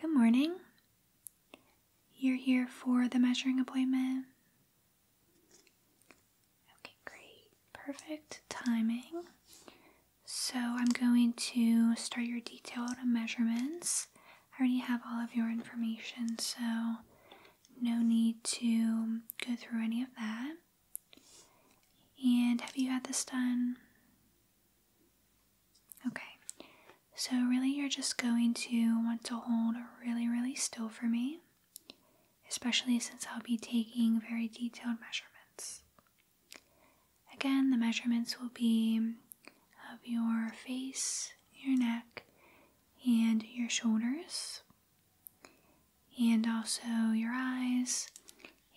Good morning. You're here for the measuring appointment. Okay, great. Perfect timing. So I'm going to start your detailed measurements. I already have all of your information, so no need to go through any of that. And have you had this done? Okay. So, really, you're just going to want to hold really, really still for me, especially since I'll be taking very detailed measurements. Again, the measurements will be of your face, your neck, and your shoulders and also your eyes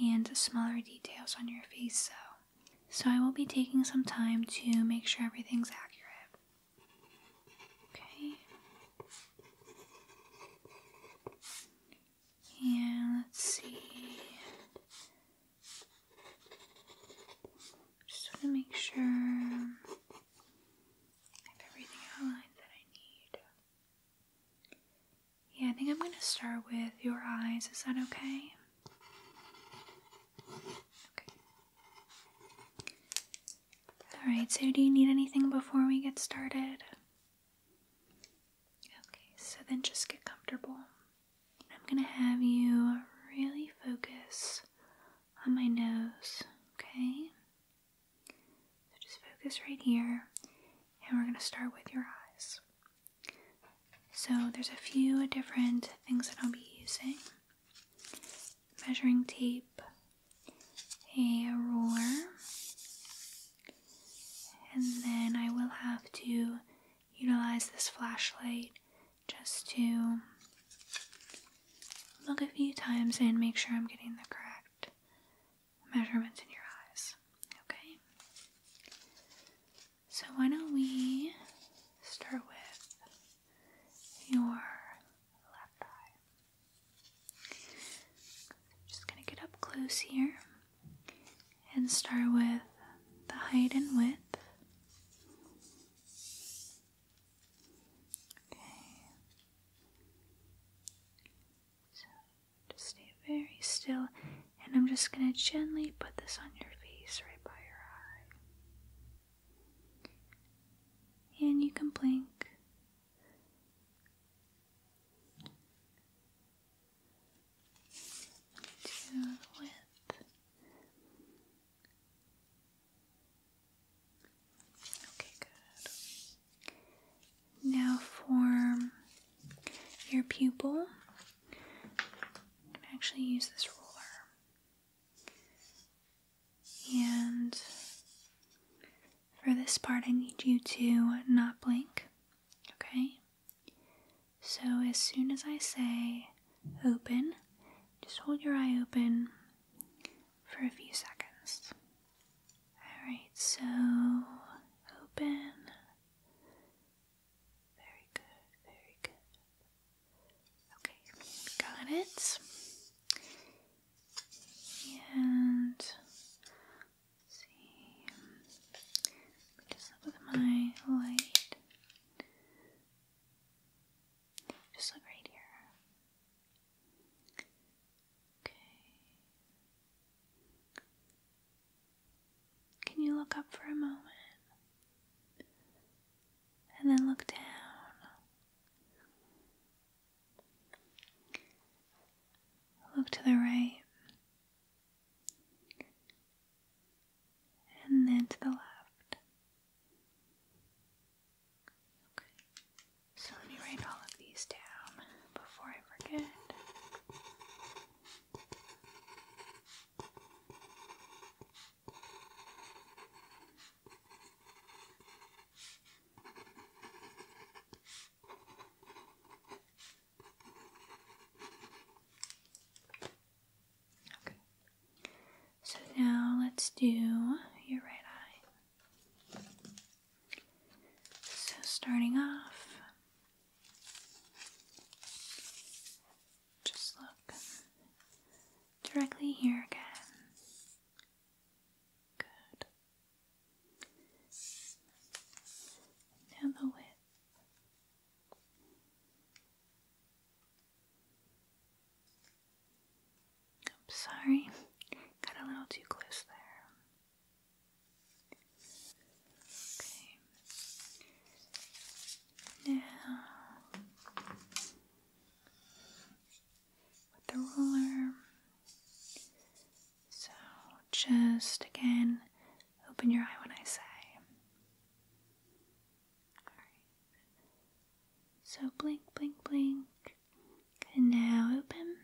and smaller details on your face. So, so I will be taking some time to make sure everything's accurate. Okay. And let's see. Just to make sure I have everything outlined that I need. Yeah, I think I'm going to start with your eyes. Is that okay? Okay. Alright, so do you need anything before we get started? Okay, so then just get comfortable. I'm going to have you really focus on my nose, okay? So just focus right here, and we're going to start with your eyes. So there's a few different things that I'll be using. Measuring tape, a ruler, and then I will have to utilize this flashlight just to look a few times and make sure I'm getting the correct measurements in your eyes. Okay? So, why don't we start with your left eye? I'm just going to get up close here and start with the height and width. Okay. Just stay very still, and I'm just going to gently put this on your face right by your eye. And you can blink. To with. Okay, good. Now form your pupil, I'm actually use this ruler. And for this part, I need you to not blink, okay? So as soon as I say open, just hold your eye open for a few seconds. Alright, so open. Very good, very good. Okay, got it. And see, just look with my light. Just look right here. Okay. Can you look up for a moment? And then look down. Look to the right. And then to the left. So let me write all of these down before I forget. Okay. So now let's do your right eye. So, starting off, just look directly here again. Good. Now the width. I'm sorry, got a little too close there. Okay. Now, with the ruler, so just again open your eye when I say. So blink, blink, blink now open.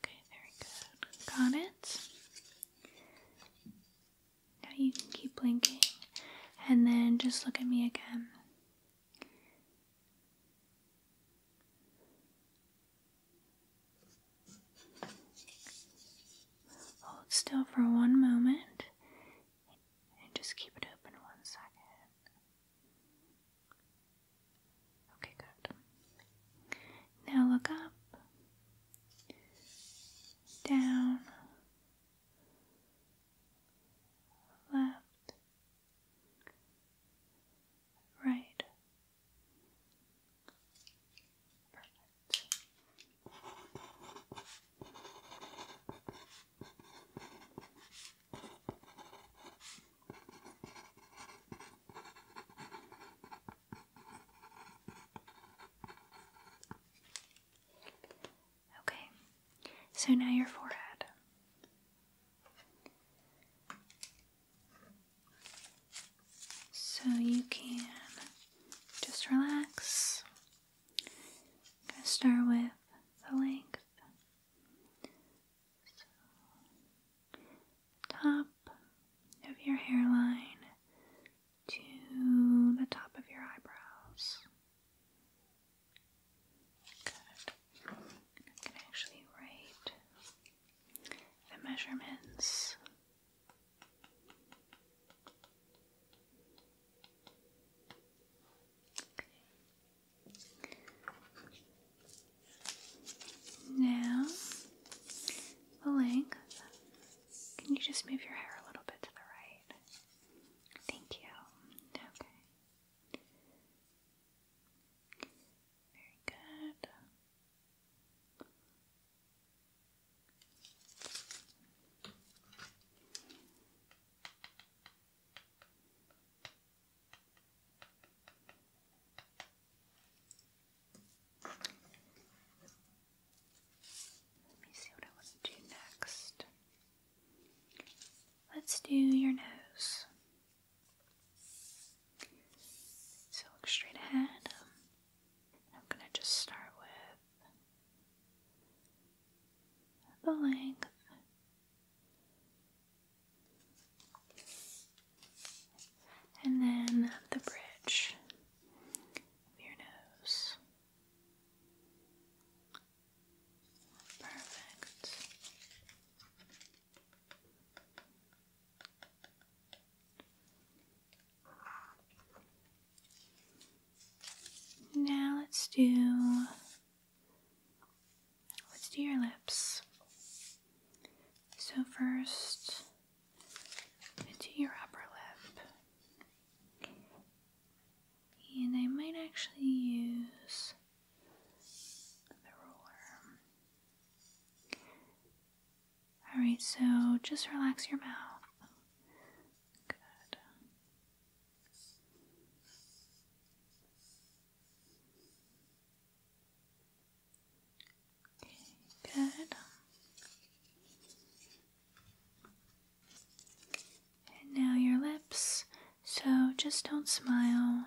Okay, very good. Got it. Now you can keep blinking and then just look at me again. Hold still for one moment and just keep it open one second. Okay, good. Now look up, down, left, right. Perfect. Okay, so now your forehead. So you can just relax I'm going to start with the length. top of your hairline to the top of your eyebrows. I'm actually write the measurements now, the length. Can you just move your hair a little bit to the right? Thank you. Okay. Very good. Let me see what I want to do next. Let's do your nose. So look straight ahead. Um, I'm going to just start with the length and then the bridge of your nose. Perfect. Now let's do let's do your lips. So first into your upper lip. And I might actually use the ruler. Alright, so just relax your mouth. Good. good. And now your lips. So just don't smile,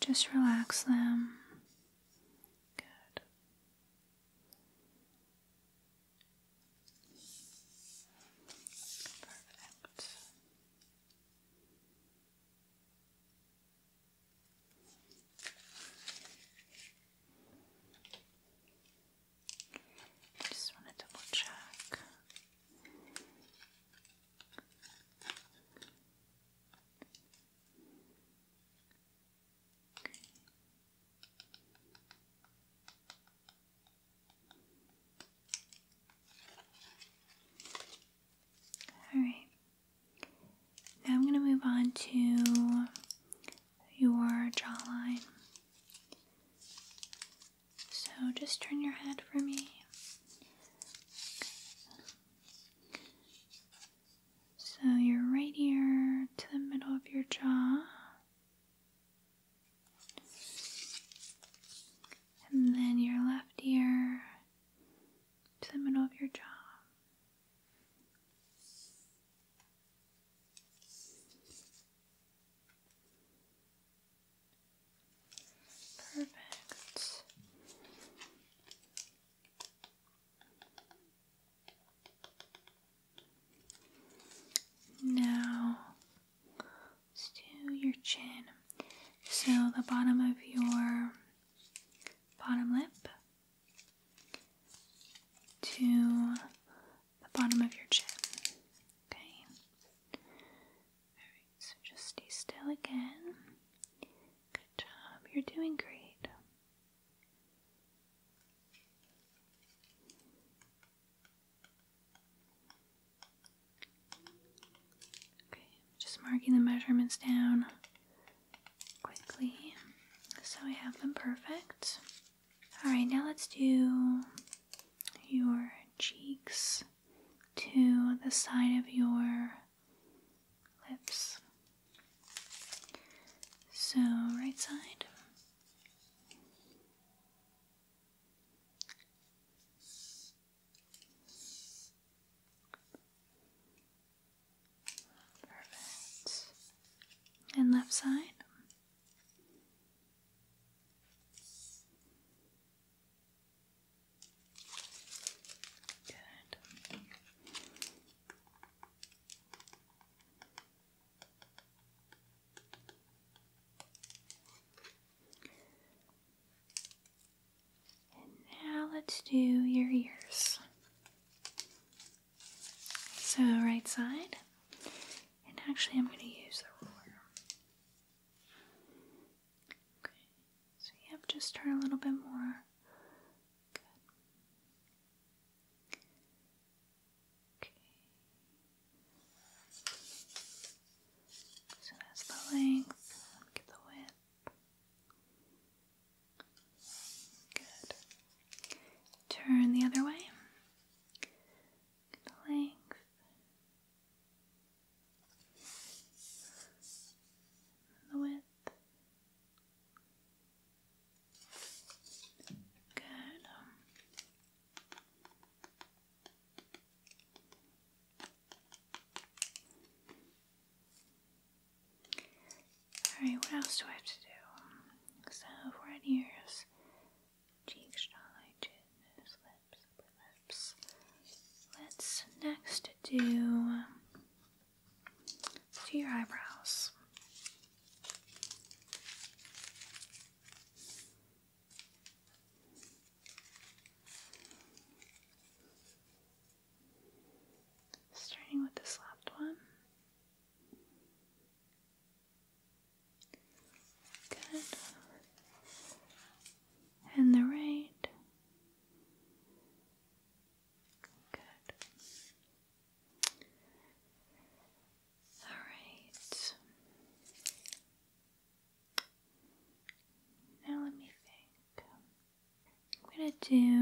just relax them. Good. Perfect. just want to double check. Alright. Now I'm going to move on to your jawline. So just turn your head for me. Okay. So your right ear to the middle of your jaw and then your left ear to the middle of your jaw. Perfect. Now, let's your chin. So, the bottom of your bottom lip to the bottom of your chin. Okay. so just stay still again. Good job. You're doing great. Okay, just marking the measurements down quickly so we have them perfect. Alright, now let's do your cheeks to the side of your lips. So, right side. Perfect. And left side. Good now let's do your ears. So, right side. And actually, I'm going to use the ruler. Okay, so yeah, just turn a little bit more so that's the length. Get the width. Good. Turn the other way. the length. The width. Good. Alright, what else do I have to do? So, right ears, cheeks, jawline, lips, lips. Let's next do to your eyebrows. Starting with this left one. Good. And the right. Good. All right. Now let me think. I'm going to do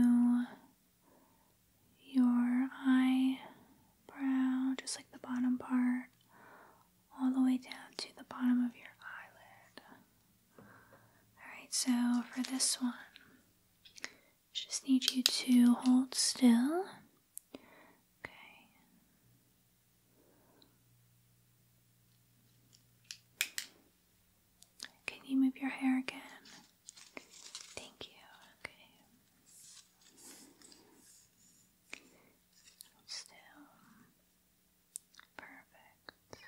your eyebrow, just like the bottom part, all the way down to the bottom of your eyelid. Alright, so for this one, just need you to hold still. Okay. Can you move your hair again? Thank you. Okay. Hold still. Perfect.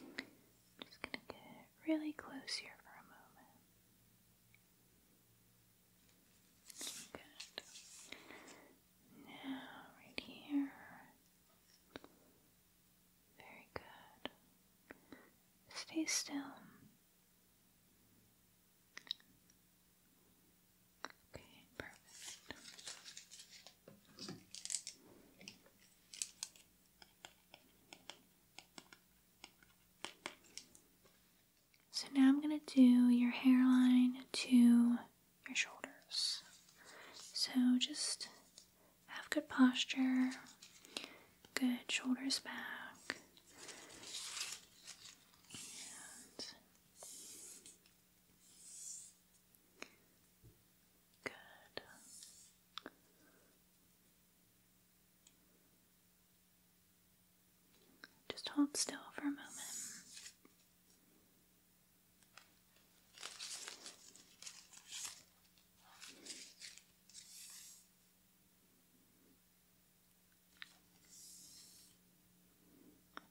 I'm just going to get really close here for a moment. Good. Now, right here. Very good. Stay still. Okay, perfect. So now I'm going to do your hairline to your shoulders. So just have good posture, good shoulders back. And good. Just hold still for a moment.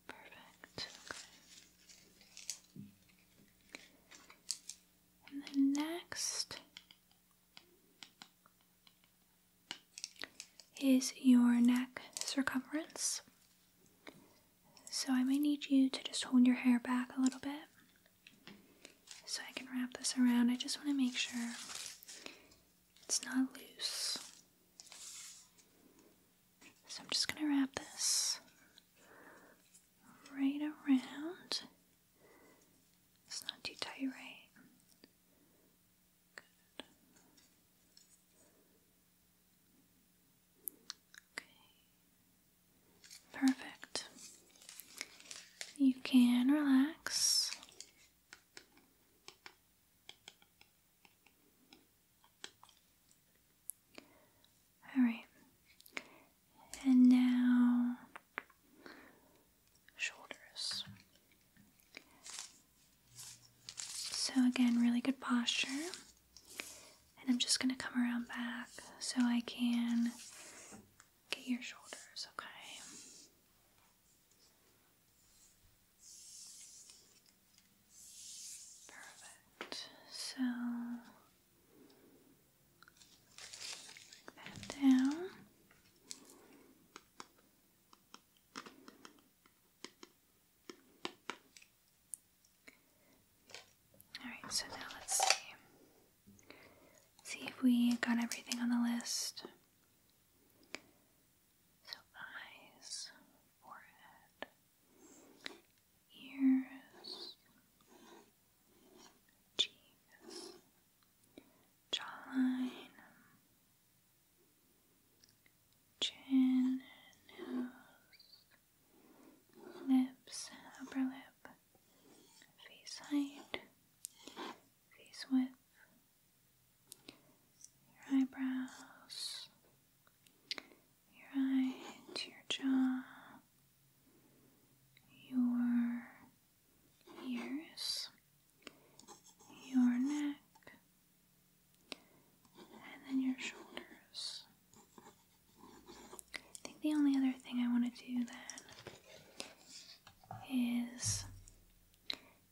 Perfect. Okay next is your neck circumference. So I may need you to just hold your hair back a little bit so I can wrap this around. I just want to make sure it's not loose. So I'm just going to wrap this right around it's not too tight, right? Okay. Perfect. You can relax. Alright. And now shoulders. So, again, really good posture. And I'm just going to come around back so I can get your shoulders, okay? Perfect. So down. Alright, so now let's see. See if we got everything on the list. So eyes, forehead, ears, cheeks, jawline, chin, nose, lips, upper lip, face height, face width, your eyebrows, your eyes, your jaw your ears, your neck, and then your shoulders. I think the only other thing I want to do then is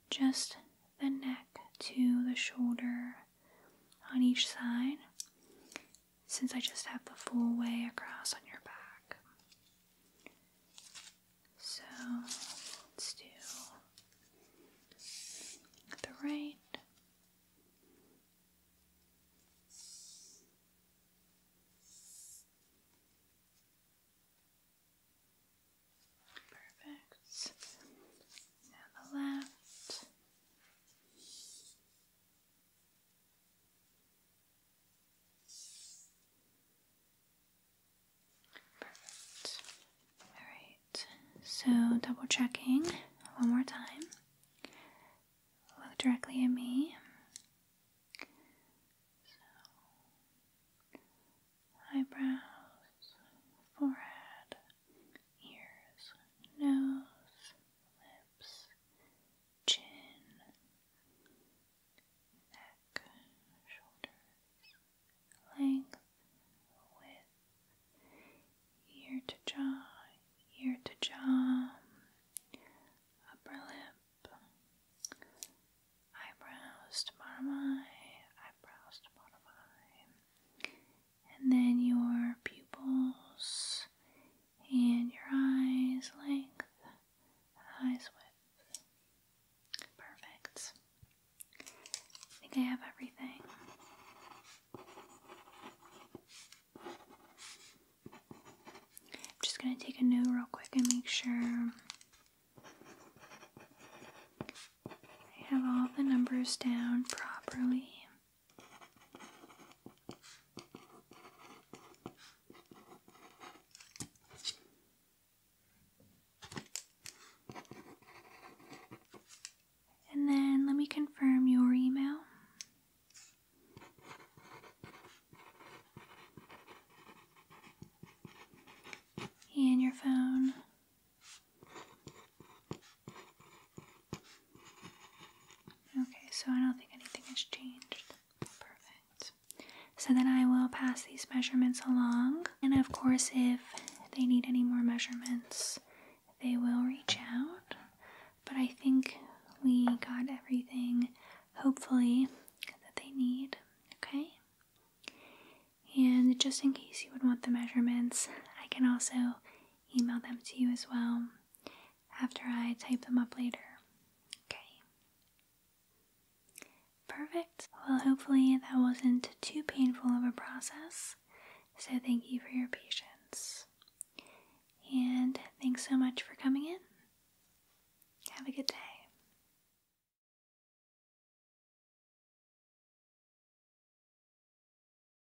just the neck to the shoulder on each side since I just have the full way across on your back. So let's do the right. Perfect. Now the left. Perfect. Alright, so double checking one more time. Look directly at me. eyebrows, forehead, ears, nose, lips, chin, neck, shoulders, length, width, ear to jaw, ear to jaw, upper lip, eyebrows to bottom eye, eyebrows to bottom eye, and then your pupils and your eyes length, eyes width. Perfect. I think I have everything. I'm just going to take a note real quick and make sure I have all the numbers down properly. And then let me confirm your email. And your phone. Okay, so I don't think anything has changed. Perfect. So then I will pass these measurements along, and of course, if they need any more measurements, they will reach out. But I think we got everything, hopefully, that they need. Okay? And just in case you would want the measurements, I can also email them to you as well after I type them up later. Okay. Perfect. Well, hopefully that wasn't too painful of a process. So thank you for your patience. And thanks so much for coming in. Have a good day.